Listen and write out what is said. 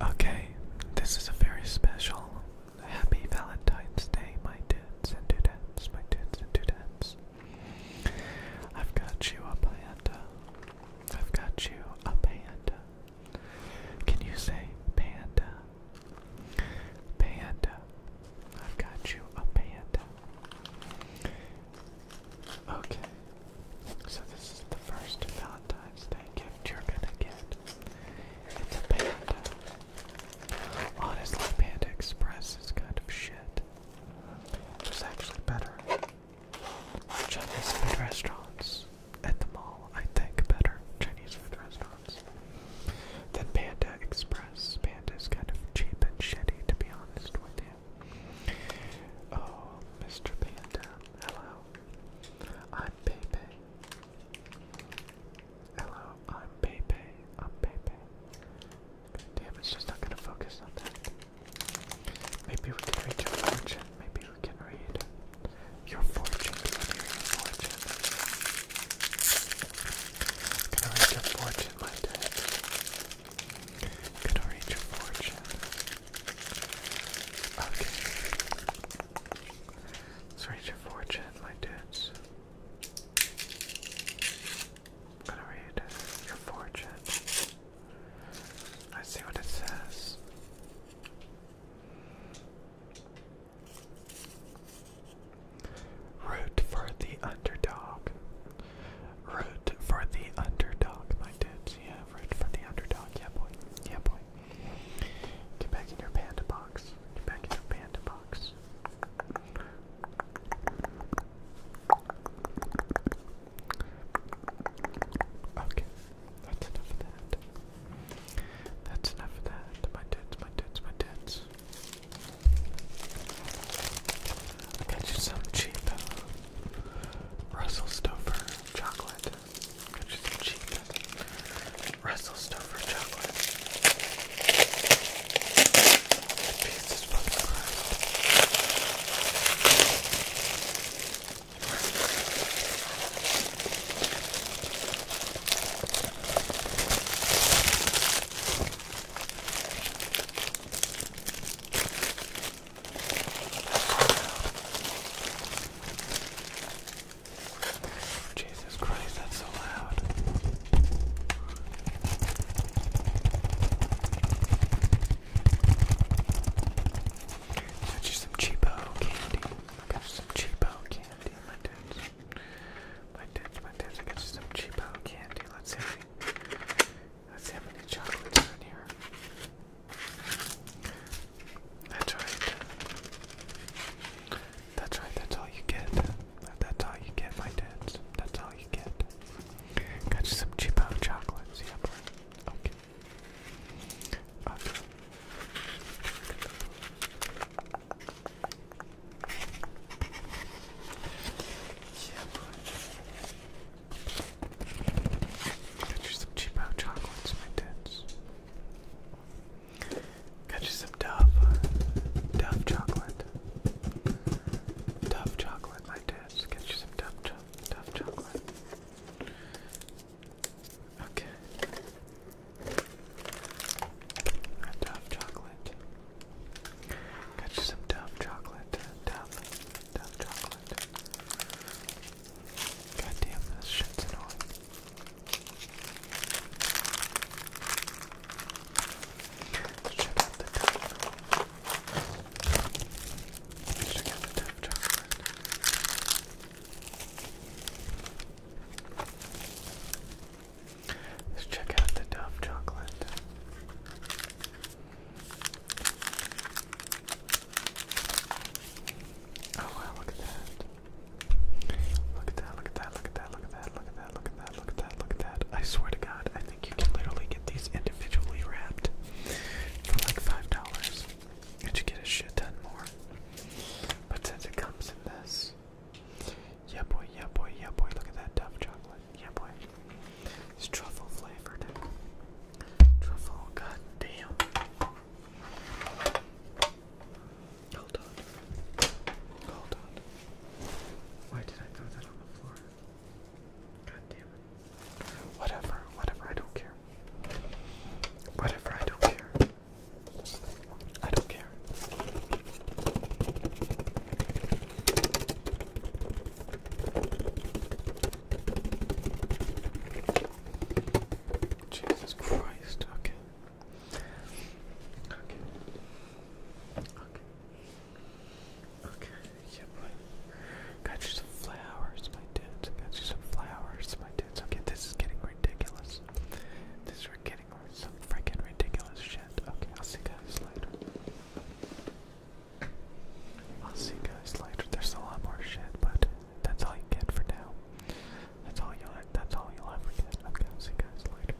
Okay, this is a very special Happy Valentine's Day, my dudes and dudettes, my dudes and dudettes. I've got you a panda. I've got you a panda. Can you say panda? Panda. I've got you a panda. Okay, so this is the first Valentine's Day gift you're gonna get. It's a panda. Honestly, Panda Express is kind of shit. It's actually better. Chinese food restaurants at the mall, I think, better Chinese food restaurants than Panda Express. Panda is kind of cheap and shitty, to be honest with you. Oh, Mr. Panda, hello. I'm Pepe. Hello, I'm Pepe. I'm Pepe. Damn, it's just not gonna focus on that. Maybe we can read your fortune. Maybe we can read your fortune. I'm gonna read your fortune, my dad. Could arrange a fortune. Okay. Let's arrange a fortune, my dudes. I'm gonna read your fortune. I see what it says. Root for the underdog. Root for the underdog, my dudes. Yeah, root for the underdog. Yeah, boy. Yeah, boy. Get back in your panda box. Get back in your panda box. Okay, that's enough of that. That's enough of that. My dudes, my dudes, my dudes. Got you some cheap uh, Russell Stover chocolate. i you some cheap uh, Russell Stover chocolate. The for the crust. Jesus Christ, that's so loud. That's just some cheapo candy. I got some cheapo candy, my dudes. My tips, my tips. I got some cheap out candy. Let's see. let's see how many chocolates are in here. That's right. That's right. That's all you get. That's all you get, my tips. That's all you get. Got you some cheap out chocolates. Yep. Okay. Okay. Get you some cheap out chocolates, my tits. Get you some Dove, Dove chocolate. Dove chocolate, my tits. Get you some Dove, Dove chocolate. Okay. A chocolate. Got you some Dove chocolate. Dove. Dove chocolate. God this shit's annoying. Check out the dark chocolate. Let's check out the Dove chocolate. Oh wow, Look at that, look at that, look at that, look at that, look at that, look at that, look at that, look at that. I swear to God, I think you can literally get these individually wrapped for like five dollars, and you get a shit ton more. But since it comes in this, yeah boy, yeah boy, yeah boy. Look at that Dove chocolate, yeah boy. It's truffle flavored. Truffle, goddamn. Hold on. Hold on. Why did I throw that on the floor? God damn it. Whatever, whatever, I don't care. Whatever, I don't care. I don't care. Jesus Christ, okay. Okay. Okay. Okay, yeah, got you some flowers, my dudes. I got you some flowers, my dudes. Okay, this is getting ridiculous. This is getting some freaking ridiculous shit. Okay, I'll see guys later. I'll see guys later. There's a lot more shit, but that's all you get for now. That's all you'll that's all you'll ever get. Okay, I'll see guys later.